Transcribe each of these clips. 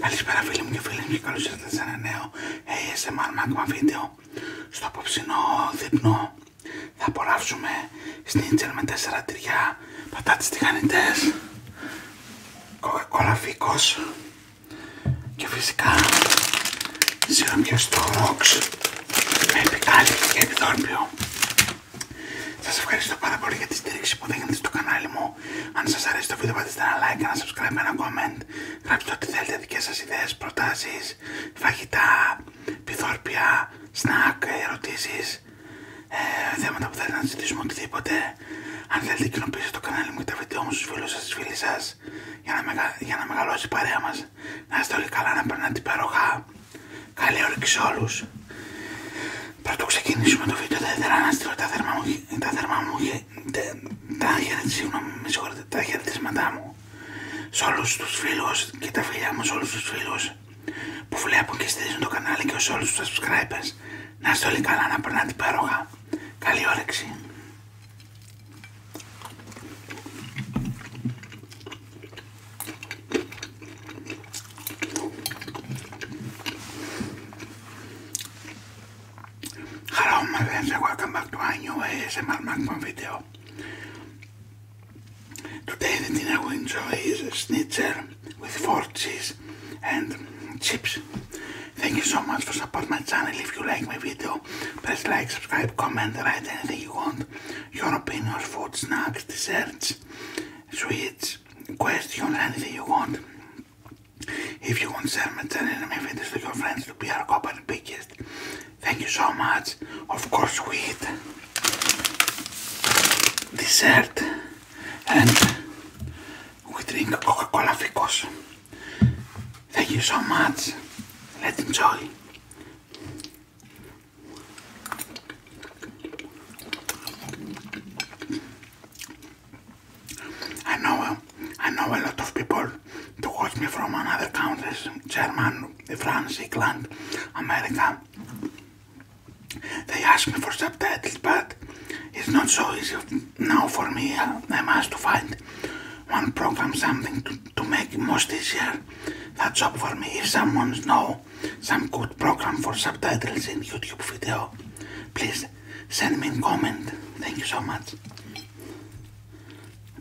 Καλησπέρα φίλοι μου και φίλοι μου και καλώς ήρθατε σε ένα νέο ASMR Magma βίντεο. Στο απόψινό δείπνο θα απολαύσουμε σνίτζελ με τέσσερα τυριά, πατάτες τηγανιτές, κοκακόλα φίκος και φυσικά στο ρόξ με επικάλυψη και επιδόρπιο. Σας ευχαριστώ πάρα πολύ για τη στήριξη που δίνετε στο κανάλι μου αν σας αρέσει το βίντεο πατήστε ένα like, ένα subscribe, ένα comment. Γράψτε ό,τι θέλετε, δικές σας ιδέες, προτάσεις, φαγητά, πιθόρπια, σνακ, ερωτήσεις, ε, θέματα που θέλετε να συζητήσουμε, οτιδήποτε. Αν θέλετε κοινοποιήστε το κανάλι μου και τα βίντεο μου στους φίλους σας, στις φίλες σας, για να, για να μεγαλώσει η παρέα μας. Να είστε όλοι καλά, να περνάτε υπέροχα. Καλή όρεξη όλους το ξεκινήσουμε το βίντεο, θα ήθελα να στείλω τα θερμά μου, τα θερμά μου τα, τα, συγγνώμη, τα μου σε όλου του φίλου και τα φιλιά μου σε όλου του φίλου που βλέπουν και στηρίζουν το κανάλι και σε όλου του subscribers. Να είστε όλοι καλά, να περνάτε υπέροχα. Καλή όρεξη. Hello, my friends, and welcome back to my new ASMR MacBook video. Today, the dinner we enjoy is schnitzel with four cheese and chips. Thank you so much for supporting my channel. If you like my video, press like, subscribe, comment, write anything you want. Your opinions, food, snacks, desserts, sweets, questions, anything you want. If you want sermons and anime videos to your friends to be our company biggest, thank you so much. Of course, we eat dessert and we drink Coca Cola because Thank you so much. Let's enjoy. I know uh, I know a lot of people to watch me from another countries, German, France, England, America. They ask me for subtitles, but it's not so easy now for me. Uh, I must to find one program, something to, to make it most easier. That job for me. If someone know some good program for subtitles in YouTube video, please send me a comment. Thank you so much.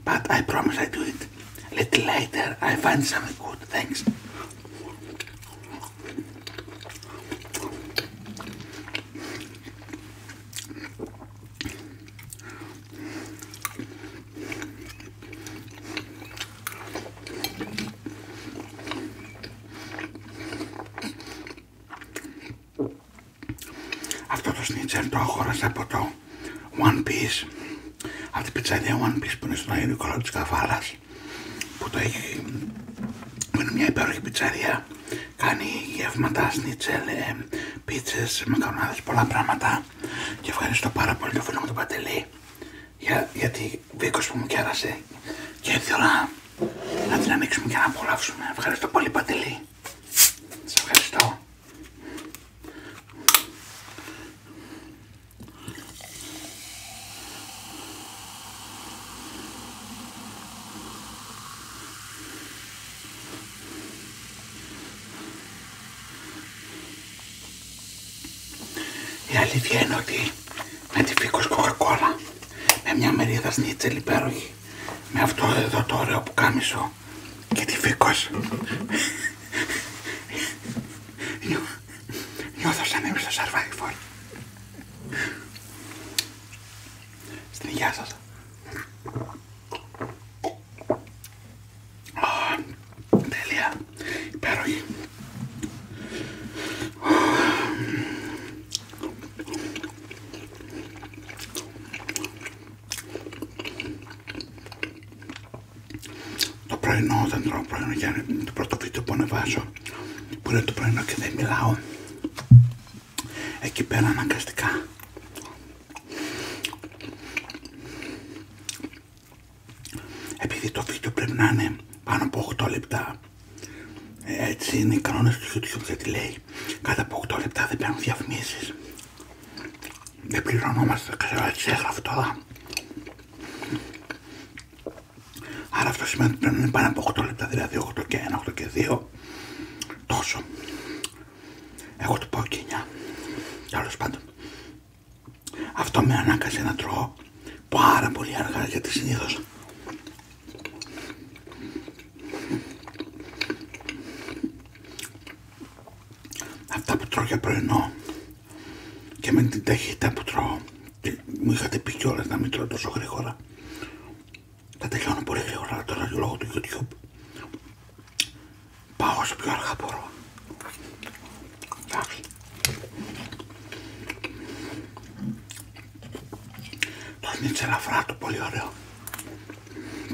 But I promise I do it a little later. I find something good. Thanks. Αυτό το σνίτσερ το αγόρασα από το One Piece Αυτή η πιτσαρία One Piece που είναι στον Αγίου Νικολάου της που το έχει είναι μια υπέροχη πιτσαρία κάνει γεύματα, σνίτσελ, πίτσες, μακαρονάδες, πολλά πράγματα και ευχαριστώ πάρα πολύ το φίλο μου τον Παντελή για, που μου κέρασε και ήθελα να την ανοίξουμε και να απολαύσουμε. Ευχαριστώ πολύ Παντελή. Σε ευχαριστώ. Η αλήθεια είναι ότι με τη φίκος κοκακόλα με μια μερίδα σνίτσελ υπέροχη με αυτό εδώ το ωραίο που κάμισο και τη φίκος νιώθω σαν είμαι στο Survivor στην υγειά σας τέλεια υπέροχη το πρωινό, δεν τρώω πρωινό για το πρώτο βίντεο που ανεβάζω, που είναι το πρωινό και δεν μιλάω, εκεί πέρα αναγκαστικά επειδή το βίντεο πρέπει να είναι πάνω από 8 λεπτά ε, έτσι είναι οι κανόνες του YouTube γιατί λέει Κάθε από 8 λεπτά δεν παίρνουν διαφημίσεις Δεν πληρωνόμαστε, ξέρω έτσι έγραφε τώρα Άρα αυτό σημαίνει ότι πρέπει να είναι πάνω από 8 λεπτά, δηλαδή 8 και 1, 8 και 2 Τόσο Εγώ του πω και 9 Τέλος πάντων Αυτό με ανάγκασε να τρώω πάρα πολύ αργά γιατί συνήθως αυτά που τρώω για πρωινό και με την ταχύτητα που τρώω και μου είχατε πει κιόλας να μην τρώω τόσο γρήγορα τα τελειώνω πολύ γρήγορα τώρα λόγω του YouTube πάω όσο πιο αργά μπορώ εντάξει το σνίτσε ελαφρά του, πολύ ωραίο.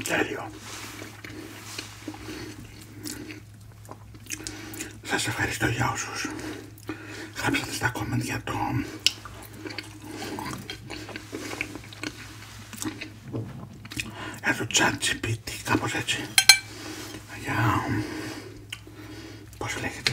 Τέλειο. Σας ευχαριστώ για όσους γράψατε στα κόμμεντ για το για το chat GPT, κάπως έτσι για πώς λέγεται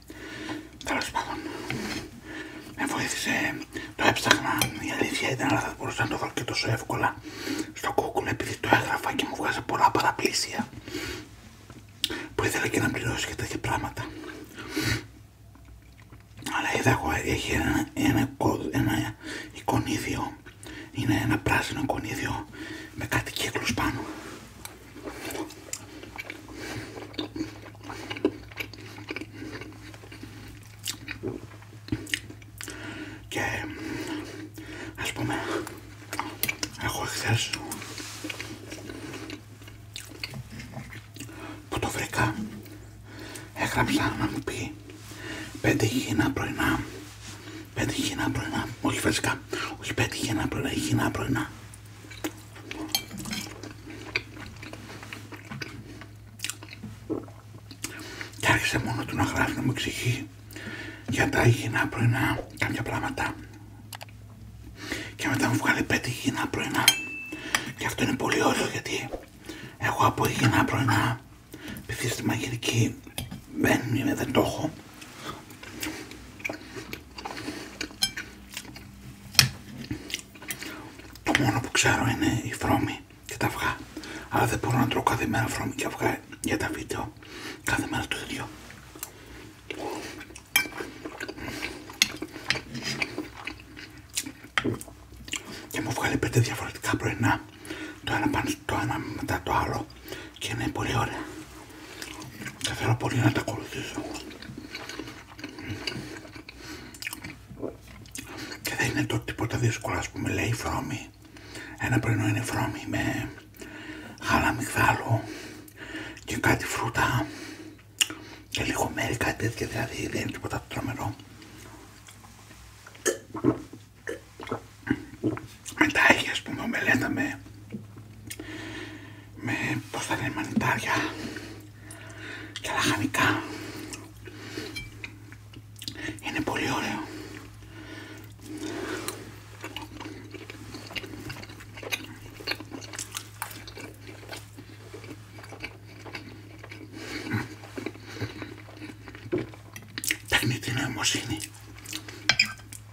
Τέλο πάντων, με βοήθησε, το έψαχνα, η αλήθεια ήταν, αλλά δεν μπορούσα να το βρω και τόσο εύκολα στο κόκκινο επειδή το έγραφα και μου βγάζε πολλά παραπλήσια που ήθελα και να πληρώσει και τέτοια πράγματα. Αλλά είδα εγώ, έχει ένα, ένα, εικονίδιο, είναι ένα πράσινο εικονίδιο με κάτι κύκλος πάνω και ας πούμε εγώ χθε. που το βρήκα έγραψα να μου πει πέντε χινά πρωινά πέντε χινά πρωινά όχι φασικά όχι πέντε χινά πρωινά χινά πρωινά και άρχισε μόνο του να γράφει να μου εξηγεί για τα υγιεινά πρωινά κάποια πράγματα. Και μετά μου βγάλει πέντε υγιεινά πρωινά. Και αυτό είναι πολύ ωραίο γιατί εγώ από υγιεινά πρωινά, επειδή στη μαγειρική δεν, δεν το έχω, το μόνο που ξέρω είναι οι φρόμη και τα αυγά. Αλλά δεν μπορώ να τρώω κάθε μέρα φρόμοι και αυγά για τα βίντεο. Κάθε μέρα το ίδιο. Και μου βγάλει πέντε διαφορετικά πρωινά. Το ένα, πάνω, το ένα μετά το άλλο. Και είναι πολύ ωραία. Θα θέλω πολύ να τα ακολουθήσω. Και δεν είναι το τίποτα δύσκολο, ας πούμε, λέει φρόμη. Ένα πρωινό είναι φρόμη με γάλα και κάτι φρούτα και λίγο μέρη, κάτι δηλαδή δεν είναι τίποτα τρομερό. Μετά έχει, α πούμε, μελέτα με με μπροστά τα μανιτάρια και λαχανικά είναι πολύ ωραίο τεχνητή νοημοσύνη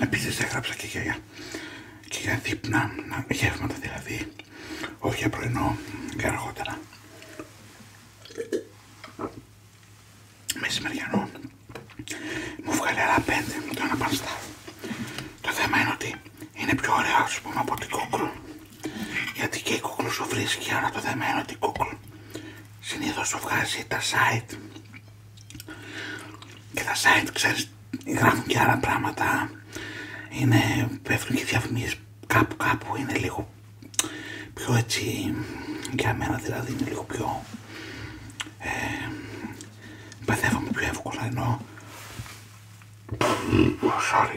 Επίσης έγραψα και για, και για δείπνα, γεύματα δηλαδή, όχι για πρωινό και αργότερα. Μεσημεριανό μου βγάλει άλλα πέντε το αναπανστάρι. Το θέμα είναι ότι είναι πιο ωραίο, ας πούμε, από την κόκκρου γιατί και η κούκλου σου βρίσκει άρα το δεμένο την κούκλου συνήθω σου βγάζει τα site και τα site ξέρει, γράφουν και άλλα πράγματα είναι πέφτουν και κάπου κάπου είναι λίγο πιο έτσι για μένα δηλαδή είναι λίγο πιο ε, παθεύομαι πιο εύκολα ενώ sorry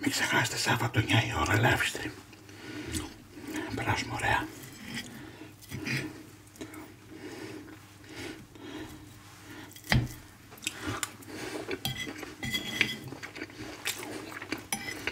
Μην ξεχάσετε Σάββατο 9 η ώρα live Περάσουμε ωραία.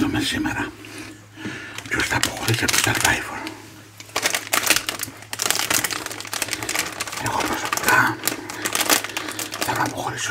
Να με σήμερα ποιος θα αποχωρήσει από το Εχώ Εγώ προσωπικά θέλω να αποχωρήσω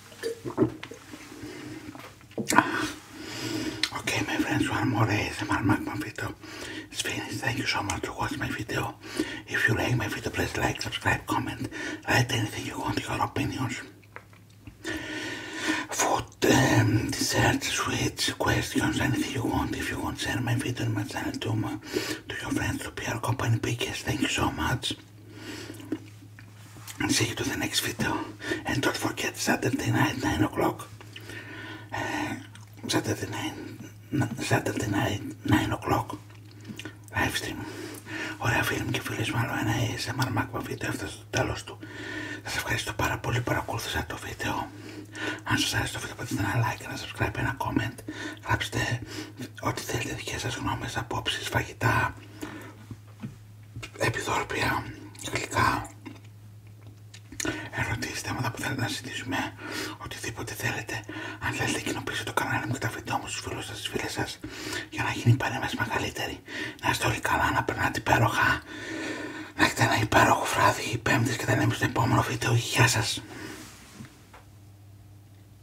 Okay, my friends, one more ASMR Magma video is finished. Thank you so much for watching my video. If you like my video, please like, subscribe, comment, write anything you want, your opinions. Food, um, desserts, sweets, questions, anything you want. If you want, share my video and my channel to, to your friends, to PR company, because thank you so much. See you to the next video and don't forget Saturday night 9 o'clock. Uh, Saturday night, Saturday night 9 o'clock live stream. Ωραία φίλοι μου και φίλες μου άλλο ένα ASMR Magma βίντεο έφτασε στο τέλος του. Σας ευχαριστώ πάρα πολύ που παρακολούθησα το βίντεο. Αν σας άρεσε το βίντεο πατήστε ένα like, ένα subscribe, ένα comment. Γράψτε ό,τι θέλετε δικές σας γνώμες, απόψεις, φαγητά, επιδόρπια, γλυκά, ερωτήσεις, θέματα που θέλετε να συζητήσουμε, οτιδήποτε θέλετε. Αν θέλετε κοινοποιήστε το κανάλι μου και τα βίντεο μου στους φίλους σας, στις φίλες σας, για να γίνει η παρέμβαση μεγαλύτερη. Να είστε όλοι καλά, να περνάτε υπέροχα, να έχετε ένα υπέροχο βράδυ, πέμπτες και τα λέμε στο επόμενο βίντεο. Γεια σας!